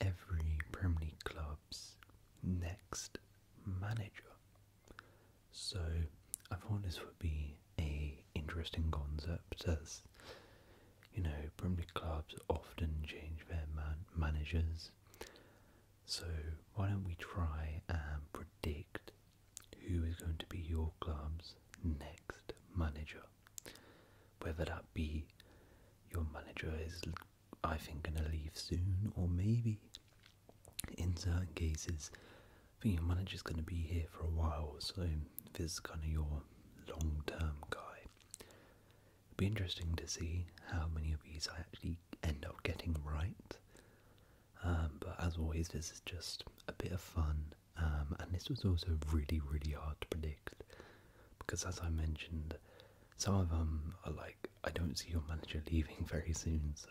every Premier League club's next manager. So I thought this would be a interesting concept as you know Premier League clubs often change their man managers. So why don't we try and predict who is going to be your club's next manager? Whether that be your manager is I think going to leave soon, or maybe in certain cases, I think your manager's going to be here for a while. So this is kind of your long-term guy, it'd be interesting to see how many of these I actually end up getting right. Um, but as always, this is just a bit of fun, um, and this was also really, really hard to predict because, as I mentioned, some of them are like, I don't see your manager leaving very soon, so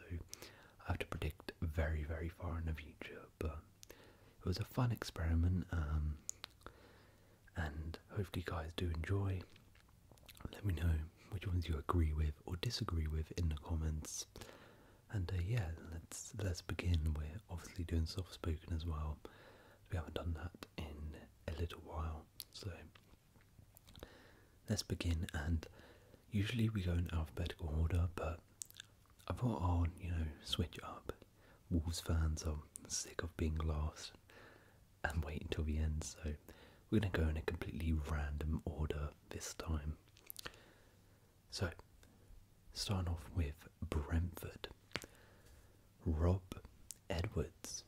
I have to predict very, very far in the future. But it was a fun experiment, um, and hopefully, you guys do enjoy. Let me know which ones you agree with or disagree with in the comments. And uh, yeah, let's let's begin. We're obviously doing soft spoken as well. We haven't done that in a little while, so Let's begin, and usually we go in alphabetical order, but I thought I'll, you know, switch up. Wolves fans are sick of being last and wait until the end, so we're going to go in a completely random order this time. So, starting off with Brentford. Rob Edwards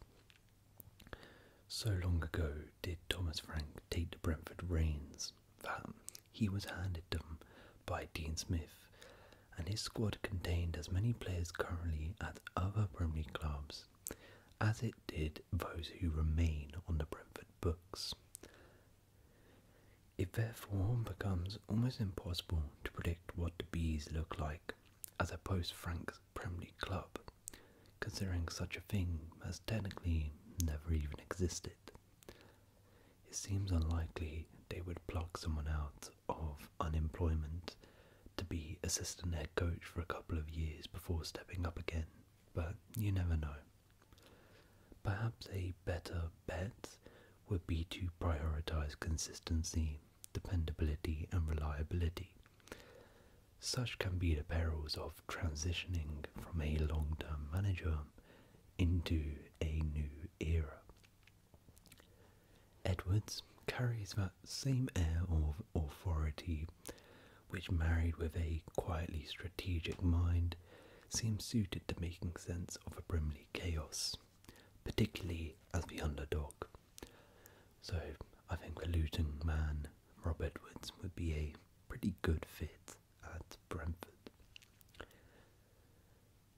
so long ago did Thomas Frank take the Brentford reins that he was handed them by Dean Smith, and his squad contained as many players currently at other Premier clubs as it did those who remain on the Brentford books. It therefore becomes almost impossible to predict what the bees look like as opposed Frank's Premier League club, considering such a thing has technically never even existed. It seems unlikely they would pluck someone out of unemployment to be assistant head coach for a couple of years before stepping up again, but you never know. Perhaps a better bet would be to prioritize consistency dependability, and reliability. Such can be the perils of transitioning from a long term manager into a new era. Edwards carries that same air of authority, which, married with a quietly strategic mind, seems suited to making sense of a Brimley chaos, particularly as the underdog. So I think the Luton man, Rob Edwards, would be a pretty good fit at Brentford.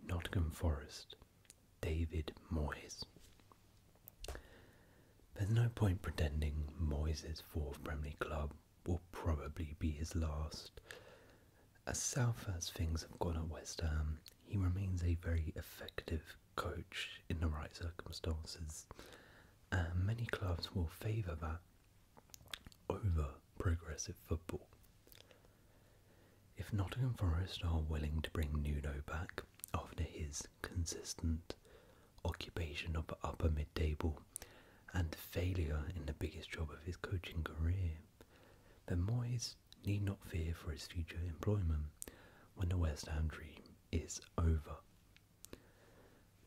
Nottingham Forest, David Moyes. There's no point pretending Moyes' fourth Premier League club will probably be his last. As south as things have gone at West Ham, he remains a very effective coach in the right circumstances. And many clubs will favour that over progressive football. If Nottingham Forest are willing to bring Nuno back after his consistent occupation of the upper mid table and failure in the biggest job of his coaching career, then Moyes need not fear for his future employment when the West Ham dream is over.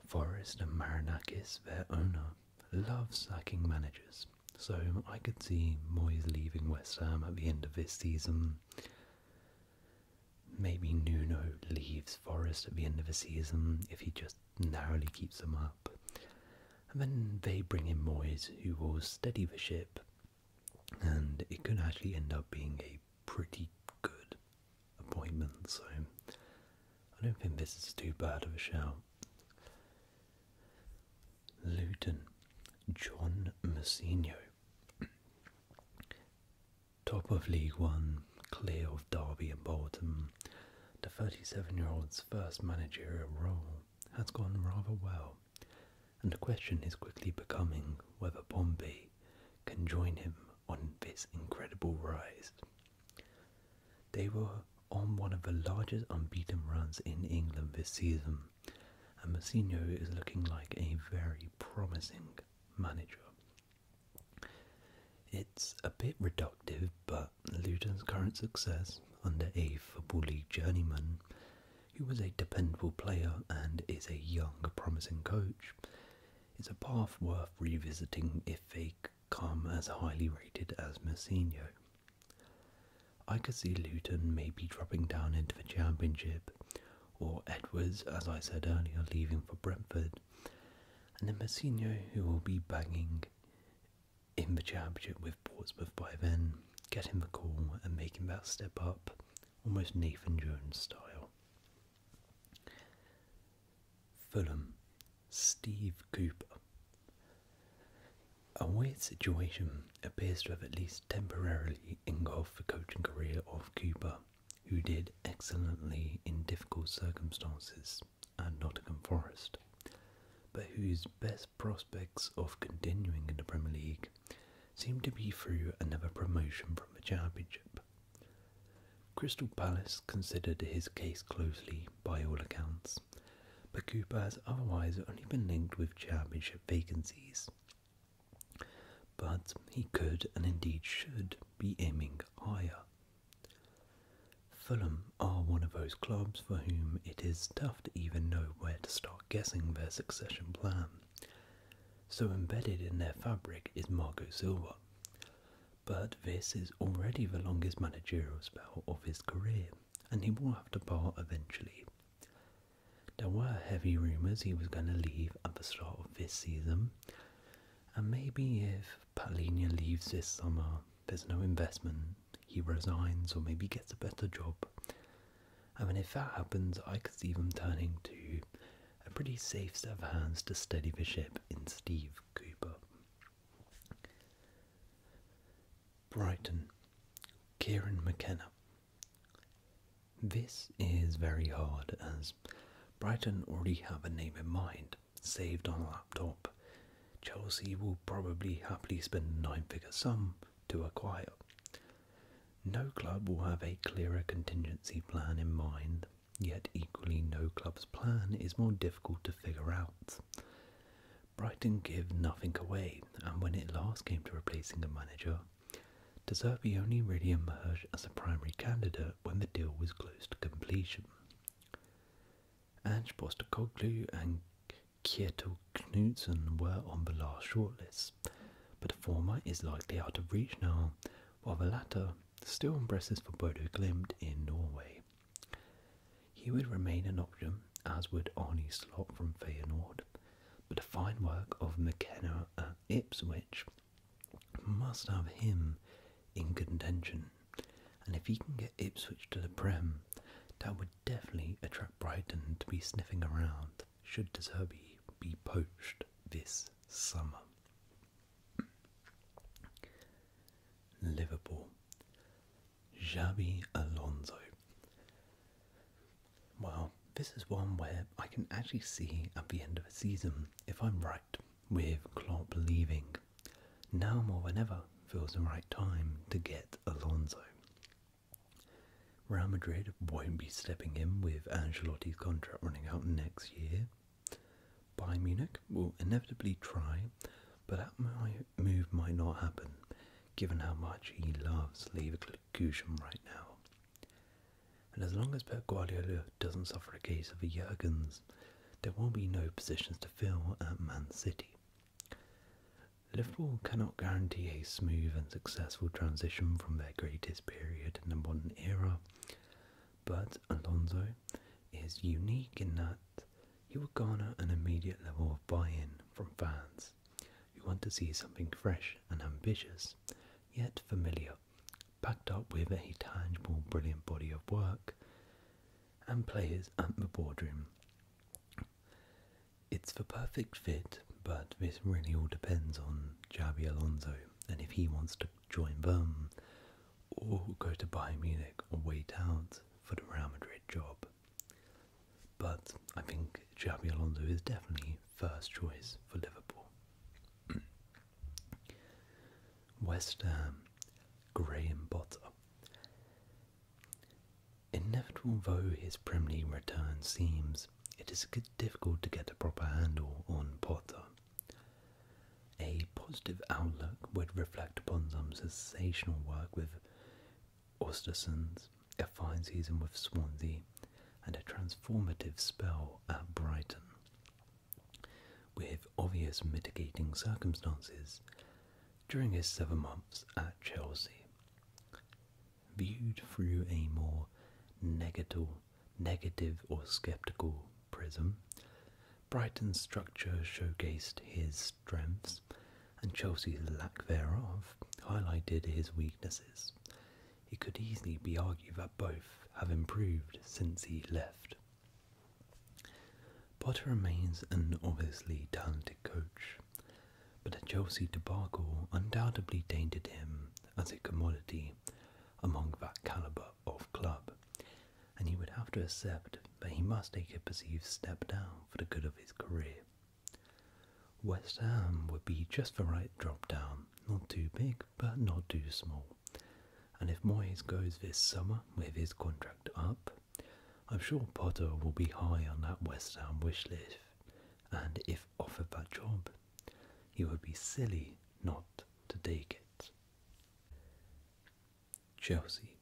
Forest and Maranakis, their owner, love sacking managers, so I could see Moyes leaving West Ham at the end of this season. Maybe Nuno leaves Forest at the end of the season if he just narrowly keeps them up. And then they bring in Moyes, who will steady the ship and it could actually end up being a pretty good appointment, so I don't think this is too bad of a show. Luton, John Messino. Top of League One, clear of Derby and Bolton, the 37 year old's first managerial role has gone rather well, and the question is quickly becoming whether Bombay can join him on this incredible rise. They were on one of the largest unbeaten runs in England this season, and Messino is looking like a very promising manager. It's a bit reductive, but Luton's current success under a Football League journeyman who was a dependable player and is a young, promising coach, is a path worth revisiting if they come as highly rated as Messina. I could see Luton maybe dropping down into the Championship, or Edwards, as I said earlier, leaving for Brentford, and then Messina, who will be banging in the Championship with Portsmouth by then, getting the call and making that step up almost Nathan Jones style. Fulham, Steve Cooper. A weird situation appears to have at least temporarily engulfed the coaching career of Cooper, who did excellently in difficult circumstances at Nottingham Forest, but whose best prospects of continuing in the Premier League seemed to be through another promotion from the championship. Crystal Palace considered his case closely by all accounts, but Cooper has otherwise only been linked with championship vacancies. But he could and indeed should be aiming higher. Fulham are one of those clubs for whom it is tough to even know where to start guessing their succession plan so embedded in their fabric is Marco Silva. But this is already the longest managerial spell of his career, and he will have to part eventually. There were heavy rumours he was going to leave at the start of this season, and maybe if Palinia leaves this summer, there's no investment, he resigns or maybe gets a better job, I mean, if that happens, I could see them turning to a pretty safe set of hands to steady the ship in Steve Cooper. Brighton, Kieran McKenna. This is very hard as Brighton already have a name in mind, saved on a laptop. Chelsea will probably happily spend a nine figure sum to acquire. No club will have a clearer contingency plan in mind, yet equally no club's plan is more difficult to figure out. Brighton give nothing away, and when it last came to replacing a manager, De only really emerged as a primary candidate when the deal was close to completion. Ange Postacoglu and Kjetil Knudsen were on the last shortlist, but the former is likely out of reach now, while the latter still impresses for Bodo Glimt in Norway. He would remain an option, as would Arnie Slot from Feyenoord, but the fine work of McKenna at Ipswich must have him in contention, and if he can get Ipswich to the Prem, that would definitely attract Brighton to be sniffing around should Deserbi be poached this summer? Liverpool. Xabi Alonso. Well, this is one where I can actually see at the end of a season if I'm right with Klopp leaving. Now more than ever feels the right time to get Alonso. Real Madrid won't be stepping in with Angelotti's contract running out next year. Bayern Munich will inevitably try, but that move might not happen, given how much he loves Leverkusen right now. And as long as Pep Guardiola doesn't suffer a case of the Jurgens, there will not be no positions to fill at Man City. Liverpool cannot guarantee a smooth and successful transition from their greatest period in the modern era, but Alonso is unique in that he will garner an immediate level of buy-in from fans who want to see something fresh and ambitious, yet familiar, packed up with a tangible, brilliant body of work and players at the boardroom it's the perfect fit, but this really all depends on Javi Alonso and if he wants to join them or go to Bayern Munich or wait out for the Real Madrid job. But I think Javi Alonso is definitely first choice for Liverpool. West Ham, Graham Potter. Inevitable though his Premier League return seems, it is difficult to get a proper handle on Potter. A positive outlook would reflect upon some sensational work with Ostersons, a fine season with Swansea, and a transformative spell at Brighton. With obvious mitigating circumstances during his seven months at Chelsea viewed through a more negative, negative or skeptical prism, Brighton's structure showcased his strengths, and Chelsea's lack thereof highlighted his weaknesses. It could easily be argued that both have improved since he left. Potter remains an obviously talented coach, but a Chelsea debacle undoubtedly tainted him as a commodity among that calibre of club, and he would have to accept that he must take a perceived step down for the good of his career. West Ham would be just the right drop down, not too big but not too small. And if Moyes goes this summer with his contract up, I'm sure Potter will be high on that West Ham wish list, and if offered that job, he would be silly not to take it. Chelsea,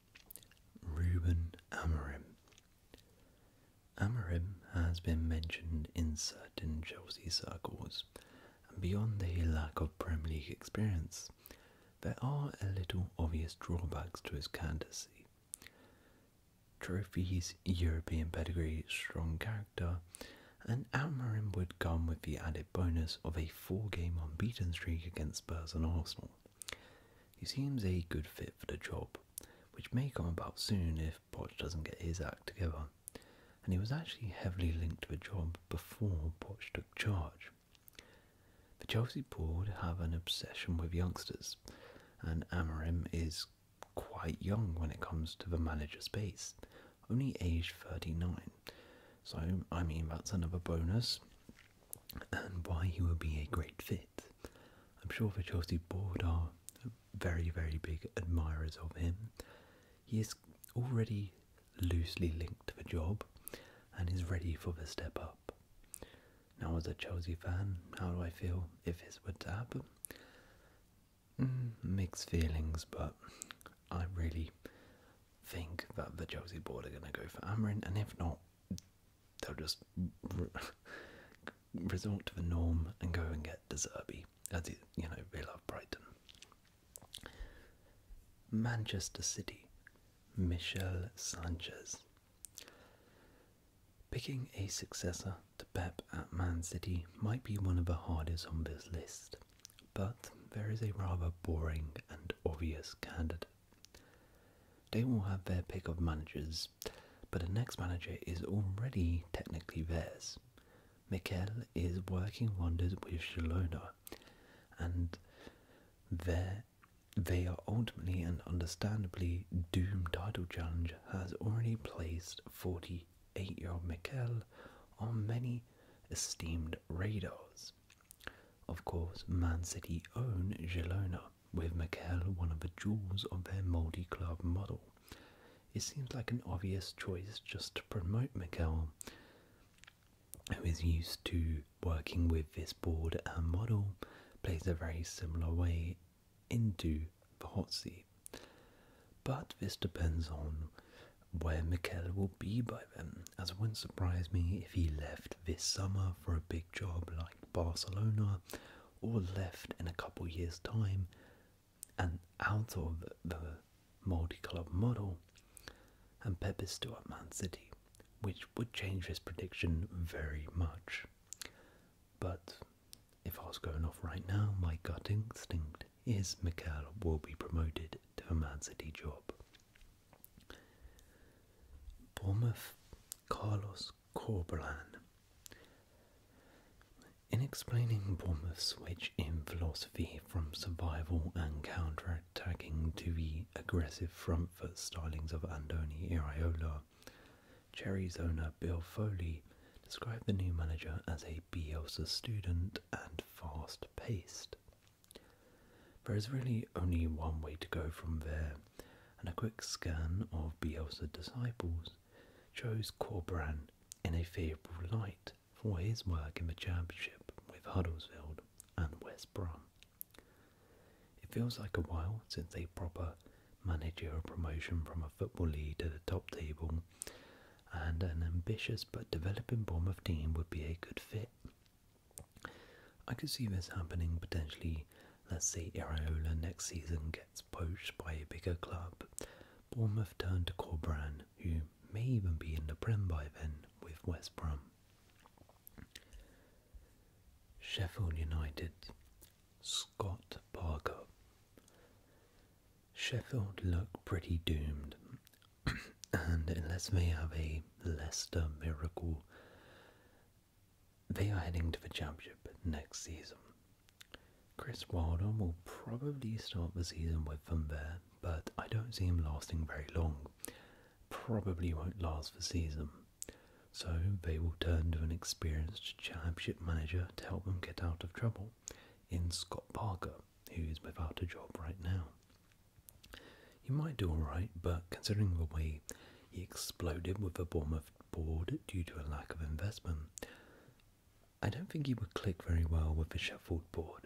Ruben Amorim. Amorim has been mentioned in certain Chelsea circles, and beyond the lack of Premier League experience, there are a little obvious drawbacks to his candidacy. Trophies, European pedigree, strong character, and Almiron would come with the added bonus of a four-game unbeaten streak against Spurs and Arsenal. He seems a good fit for the job, which may come about soon if Poch doesn't get his act together, and he was actually heavily linked to the job before Poch took charge. The Chelsea board have an obsession with youngsters, and Amarim is quite young when it comes to the manager space, only age 39. So, I mean, that's another bonus, and why he would be a great fit. I'm sure the Chelsea board are very, very big admirers of him. He is already loosely linked to the job and is ready for the step up. Now, as a Chelsea fan, how do I feel if this were to happen? Mm, mixed feelings, but I really think that the Chelsea board are going to go for Amarin, and if not, they'll just resort to the norm and go and get Deserby, as it, you know, they love Brighton. Manchester City, Michel Sanchez. Picking a successor to Pep at Man City might be one of the hardest on this list, but there is a rather boring and obvious candidate. They will have their pick of managers, but the next manager is already technically theirs. Mikel is working wonders with Shalona, and they are ultimately and understandably doomed title challengers has already placed 48 year old Mikel on many esteemed radars. Of course, Man City own Girona, with Mikel one of the jewels of their multi club model. It seems like an obvious choice just to promote Mikel, who is used to working with this board and model, plays a very similar way into the hot sea. But this depends on where Mikel will be by then, as it wouldn't surprise me if he left this summer for a big job like Barcelona, or left in a couple years' time and out of the multi club model, and Pep is still at Man City, which would change his prediction very much. But if I was going off right now, my gut instinct is Mikel will be promoted to the Man City job. Bournemouth Carlos Corbelan. In explaining Bournemouth's switch in philosophy from survival and counter attacking to the aggressive front foot stylings of Andoni Iriola, Cherry's owner Bill Foley described the new manager as a Bielsa student and fast paced. There is really only one way to go from there, and a quick scan of Bielsa disciples shows Corban in a favourable light for his work in the championship with Huddersfield and West Brom. It feels like a while since a proper managerial promotion from a football league to the top table, and an ambitious but developing Bournemouth team would be a good fit. I could see this happening potentially. Let's say Iraola next season gets poached by a bigger club. Bournemouth turn to Corbran, who may even be in the Prem by then with West Brom. Sheffield United, Scott Parker. Sheffield look pretty doomed, and unless they have a Leicester miracle, they are heading to the championship next season. Chris Wilder will probably start the season with them there, but I don't see him lasting very long. Probably won't last the season. So they will turn to an experienced championship manager to help them get out of trouble in Scott Parker, who is without a job right now. He might do alright, but considering the way he exploded with the Bournemouth board due to a lack of investment, I don't think he would click very well with the Sheffield board.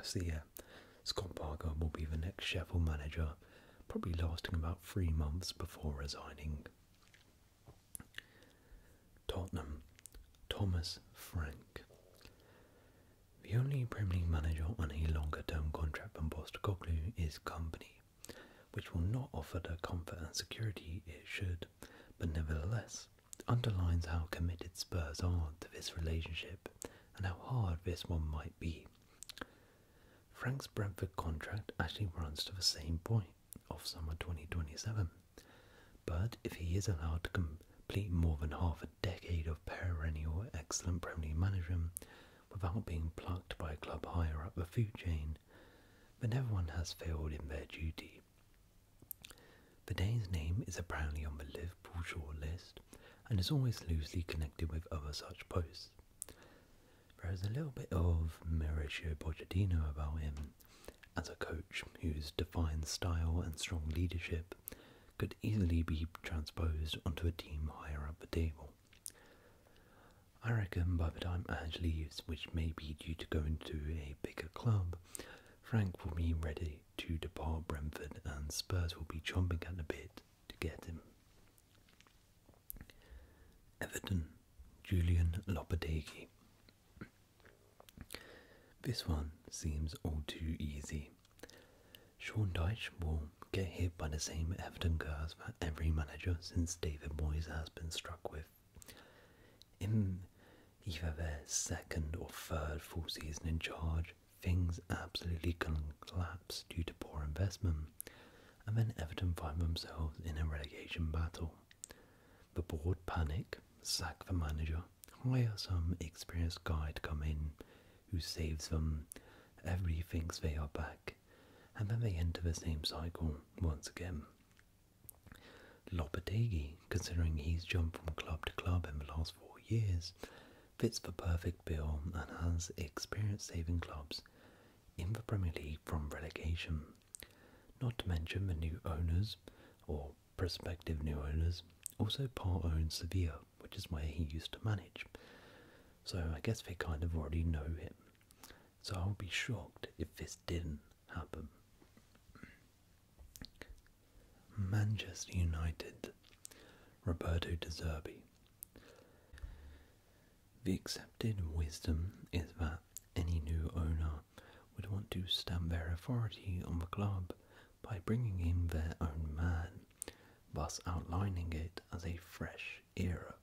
So Scott Parker will be the next Sheffield manager, probably lasting about three months before resigning. Tottenham, Thomas Frank. The only Premier League manager on a longer term contract than Postacoglu is company, which will not offer the comfort and security it should, but nevertheless underlines how committed Spurs are to this relationship and how hard this one might be. Frank's Brentford contract actually runs to the same point of summer 2027, but if he is allowed to complete more than half a decade of perennial excellent Premier League management without being plucked by a club higher up the food chain, then everyone has failed in their duty. The Dane's name is apparently on the Liverpool shortlist and is always loosely connected with other such posts. There is a little bit of Mauricio Pochettino about him as a coach whose defined style and strong leadership could easily be transposed onto a team higher up the table. I reckon by the time Ange leaves, which may be due to going to a bigger club, Frank will be ready to depart Brentford and Spurs will be chomping at the bit to get him. Everton, Julian Lopetegui. This one seems all too easy. Sean Dyche will get hit by the same Everton curse that every manager since David Moyes has been struck with. In either their second or third full season in charge, things absolutely collapse due to poor investment and then Everton find themselves in a relegation battle. The board panic, sack the manager, hire some experienced guy to come in who saves them, everybody thinks they are back, and then they enter the same cycle once again. Lopetegui, considering he's jumped from club to club in the last four years, fits the perfect bill and has experience saving clubs in the Premier League from relegation. Not to mention the new owners, or prospective new owners, also Paul owns Sevilla, which is where he used to manage. So I guess they kind of already know him. So I'll be shocked if this didn't happen. Manchester United. Roberto De Zerbi. The accepted wisdom is that any new owner would want to stamp their authority on the club by bringing in their own man, thus outlining it as a fresh era.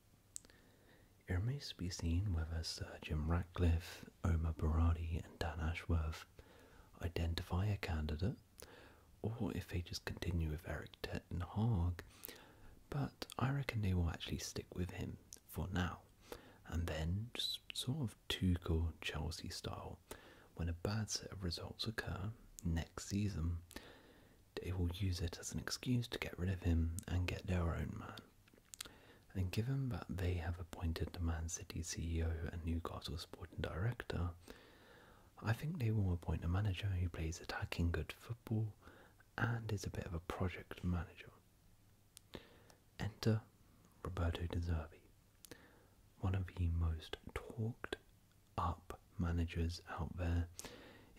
It remains to be seen whether Sir Jim Ratcliffe, Omar Baradi, and Dan Ashworth identify a candidate, or if they just continue with Eric Te and Hogg, but I reckon they will actually stick with him for now, and then just sort of Tuchel Chelsea style, when a bad set of results occur next season, they will use it as an excuse to get rid of him and get their own man. And given that they have appointed the Man City CEO and Newcastle sporting director, I think they will appoint a manager who plays attacking good football and is a bit of a project manager. Enter Roberto De Zerbi, one of the most talked up managers out there.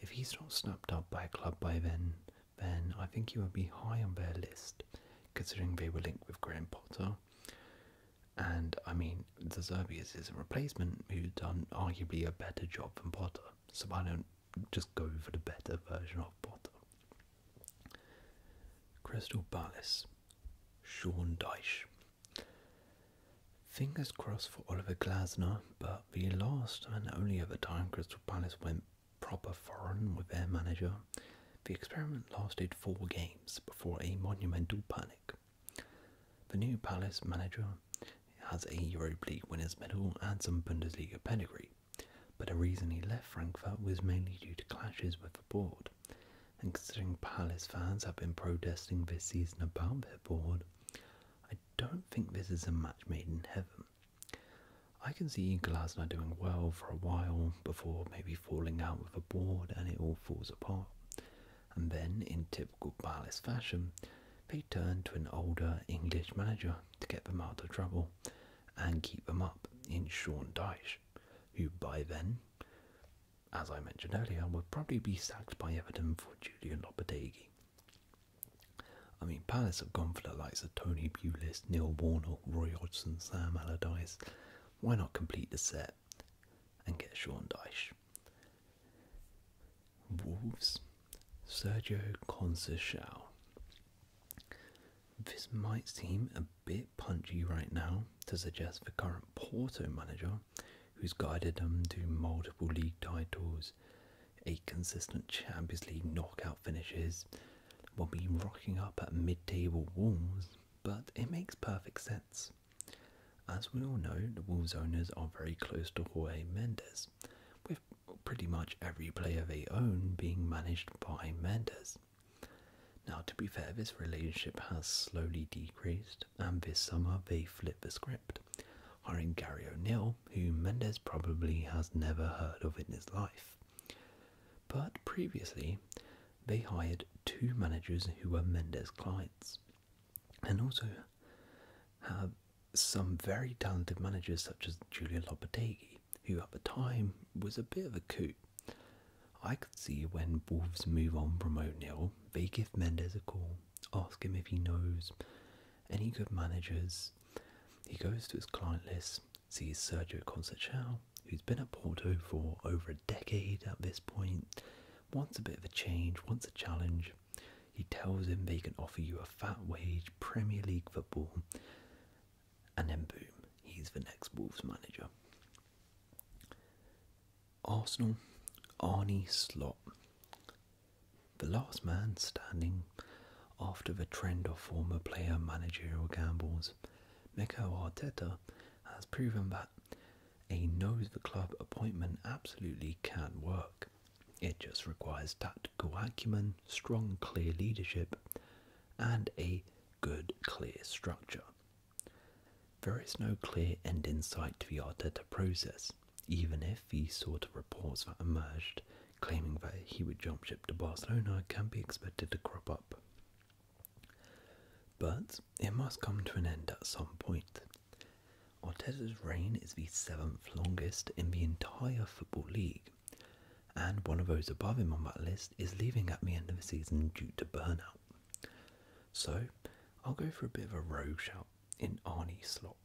If he's not snapped up by a club by then, then I think he would be high on their list, considering they were linked with Graham Potter. And I mean, De Zerbi is his replacement, who's done arguably a better job than Potter so why don't just go for the better version of Potter. Crystal Palace, Sean Dyche. Fingers crossed for Oliver Glasner, but the last and only other time Crystal Palace went proper foreign with their manager, the experiment lasted four games before a monumental panic. The new Palace manager has a Europa League winners' medal and some Bundesliga pedigree, but the reason he left Frankfurt was mainly due to clashes with the board. And considering Palace fans have been protesting this season about their board, I don't think this is a match made in heaven. I can see Glasner doing well for a while before maybe falling out with a board and it all falls apart. And then, in typical Palace fashion, they turned to an older English manager to get them out of trouble and keep them up in Sean Dyche, who by then, as I mentioned earlier, would probably be sacked by Everton for Julian Lopetegui. I mean, Palace have gone for the likes of Tony Pulis, Neil Warnock, Roy Hodgson, Sam Allardyce. Why not complete the set and get Sean Dyche? Wolves, Sergio Conceição. This might seem a bit punchy right now to suggest the current Porto manager, who's guided them to multiple league titles, eight consistent Champions League knockout finishes, will be rocking up at mid-table Wolves, but it makes perfect sense. As we all know, the Wolves owners are very close to Jorge Mendes, with pretty much every player they own being managed by Mendes. Now, to be fair, this relationship has slowly decreased, and this summer they flipped the script, hiring Gary O'Neill, who Mendes probably has never heard of in his life. But previously, they hired two managers who were Mendes clients and also have some very talented managers such as Giulio Lopetegui, who at the time was a bit of a coup. I could see when Wolves move on from O'Neill, they give Mendes a call, ask him if he knows any good managers. He goes to his client list, sees Sergio Conceição, who's been at Porto for over a decade at this point, wants a bit of a change, wants a challenge, he tells him they can offer you a fat wage, Premier League football, and then boom, he's the next Wolves manager. Arsenal, Arnie Slot. The last man standing after the trend of former player managerial gambles, Mikel Arteta has proven that a nose the club appointment absolutely can work. It just requires tactical acumen, strong, clear leadership, and a good, clear structure. There is no clear end in sight to Yota's process, even if the sort of reports that emerged claiming that he would jump ship to Barcelona can be expected to crop up. But it must come to an end at some point. Arteta's reign is the seventh longest in the entire Football League, and one of those above him on that list is leaving at the end of the season due to burnout. So, I'll go for a bit of a rogue shout in Arnie Slot.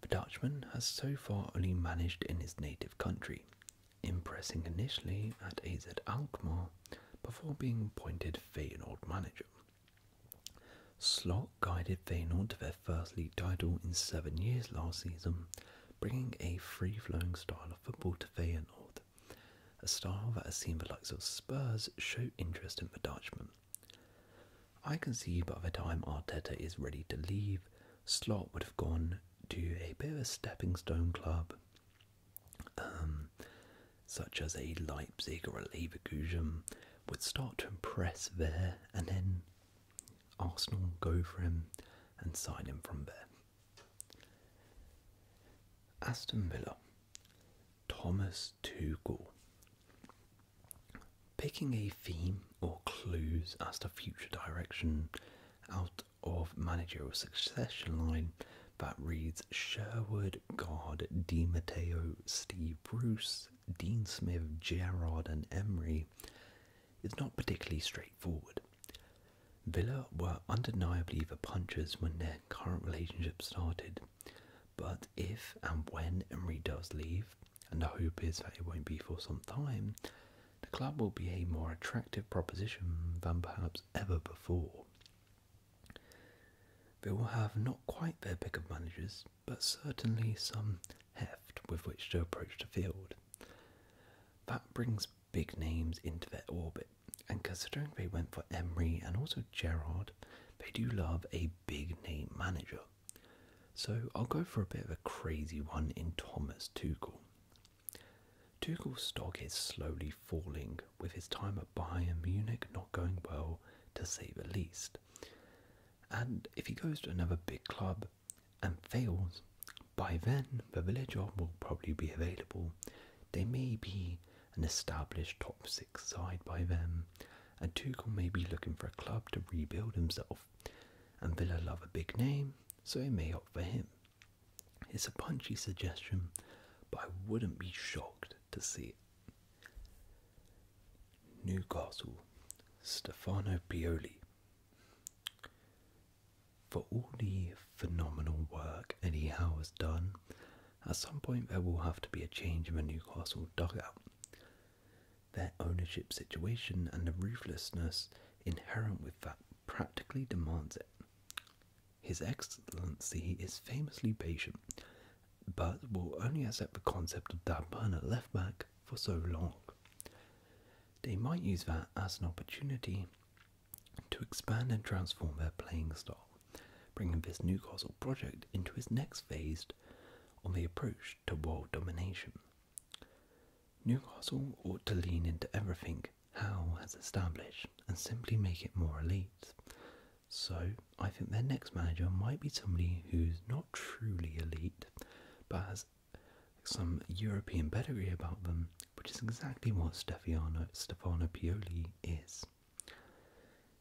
The Dutchman has so far only managed in his native country, impressing initially at AZ Alkmaar before being appointed Feyenoord manager. Slot guided Feyenoord to their first league title in seven years last season, bringing a free-flowing style of football to Feyenoord, a style that has seen the likes of Spurs show interest in the Dutchman. I can see by the time Arteta is ready to leave, Slot would have gone to a bit of a stepping stone club, um, such as a Leipzig or a Leverkusen, would start to impress there, and then Arsenal go for him and sign him from there. Aston Villa, Thomas Tuchel. Picking a theme or clues as to future direction out of managerial succession line that reads Sherwood, God, Di Matteo, Steve Bruce, Dean Smith, Gerard, and Emery. It's not particularly straightforward. Villa were undeniably the punchers when their current relationship started, but if and when Emery does leave, and the hope is that it won't be for some time, the club will be a more attractive proposition than perhaps ever before. They will have not quite their pick of managers, but certainly some heft with which to approach the field. That brings big names into their orbit, and considering they went for Emery and also Gerard, they do love a big name manager. So I'll go for a bit of a crazy one in Thomas Tuchel. Tuchel's stock is slowly falling, with his time at Bayern Munich not going well to say the least. And if he goes to another big club and fails, by then the Villa job will probably be available. They may be an established top six side by then, and Tuchel may be looking for a club to rebuild himself. And Villa love a big name, so he may opt for him. It's a punchy suggestion, but I wouldn't be shocked to see it. Newcastle, Stefano Pioli. For all the phenomenal work Anyhow has done, at some point there will have to be a change in the Newcastle dugout. Their ownership situation and the ruthlessness inherent with that practically demands it. His Excellency is famously patient but will only accept the concept of Darban at left back for so long. They might use that as an opportunity to expand and transform their playing style, bringing this Newcastle project into its next phase on the approach to world domination. Newcastle ought to lean into everything Howe has established and simply make it more elite, so I think their next manager might be somebody who's not truly elite, but has some European pedigree about them, which is exactly what Stefano, Stefano Pioli is.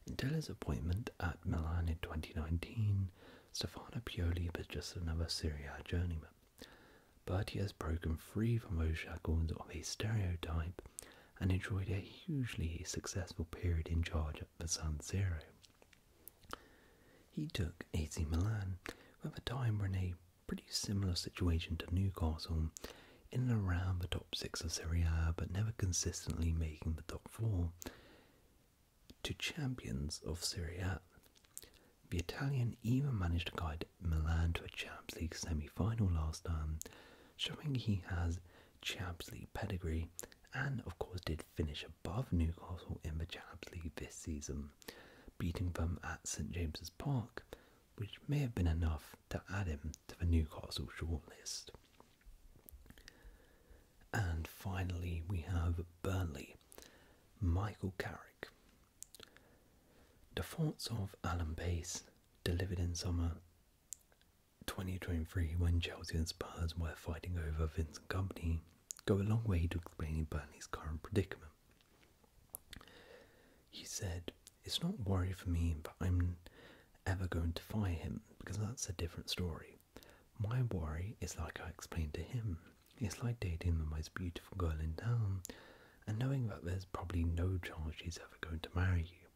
Until his appointment at Milan in 2019, Stefano Pioli was just another Serie A journeyman, but he has broken free from those shackles of a stereotype and enjoyed a hugely successful period in charge at San He took AC Milan, who at the time were in a pretty similar situation to Newcastle, in and around the top six of Serie A but never consistently making the top four, to champions of Serie A. The Italian even managed to guide Milan to a Champions League semi-final last time, showing he has Champions League pedigree and, of course, did finish above Newcastle in the Champions this season, beating them at St James's Park, which may have been enough to add him to the Newcastle shortlist. And finally, we have Burnley, Michael Carrick. The thoughts of Alan Bass, delivered in summer, 2023, when Chelsea and Spurs were fighting over Vincent Company, go a long way to explaining Burnley's current predicament. He said, It's not worry for me but I'm ever going to fire him, because that's a different story. My worry is like I explained to him. It's like dating the most beautiful girl in town and knowing that there's probably no chance she's ever going to marry you.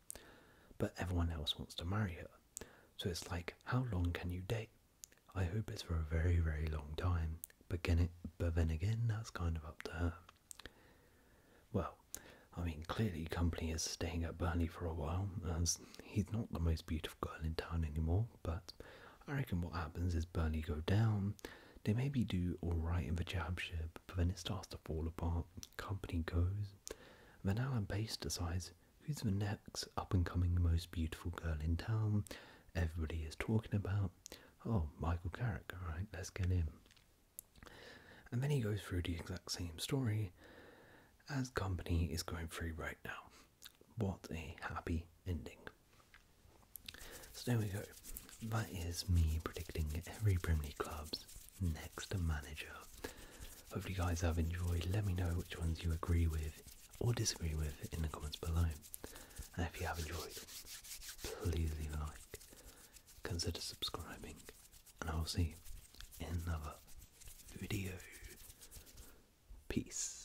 But everyone else wants to marry her. So it's like, how long can you date? I hope it's for a very, very long time. But, then again, that's kind of up to her. Well, I mean, clearly Company is staying at Burnley for a while, he's not the most beautiful girl in town anymore, but I reckon what happens is Burnley go down, they maybe do alright in the championship, but then it starts to fall apart, Company goes, Van Allen Pace decides who's the next up and coming most beautiful girl in town. Everybody is talking about, oh, Michael Carrick, alright, let's get him. And then he goes through the exact same story as Company is going through right now. What a happy ending. So there we go. That is me predicting every Premier League club's next manager. Hopefully, you guys have enjoyed. Let me know which ones you agree with or disagree with in the comments below. And if you have enjoyed, please leave a like, consider subscribing, and I will see you in another video. Peace.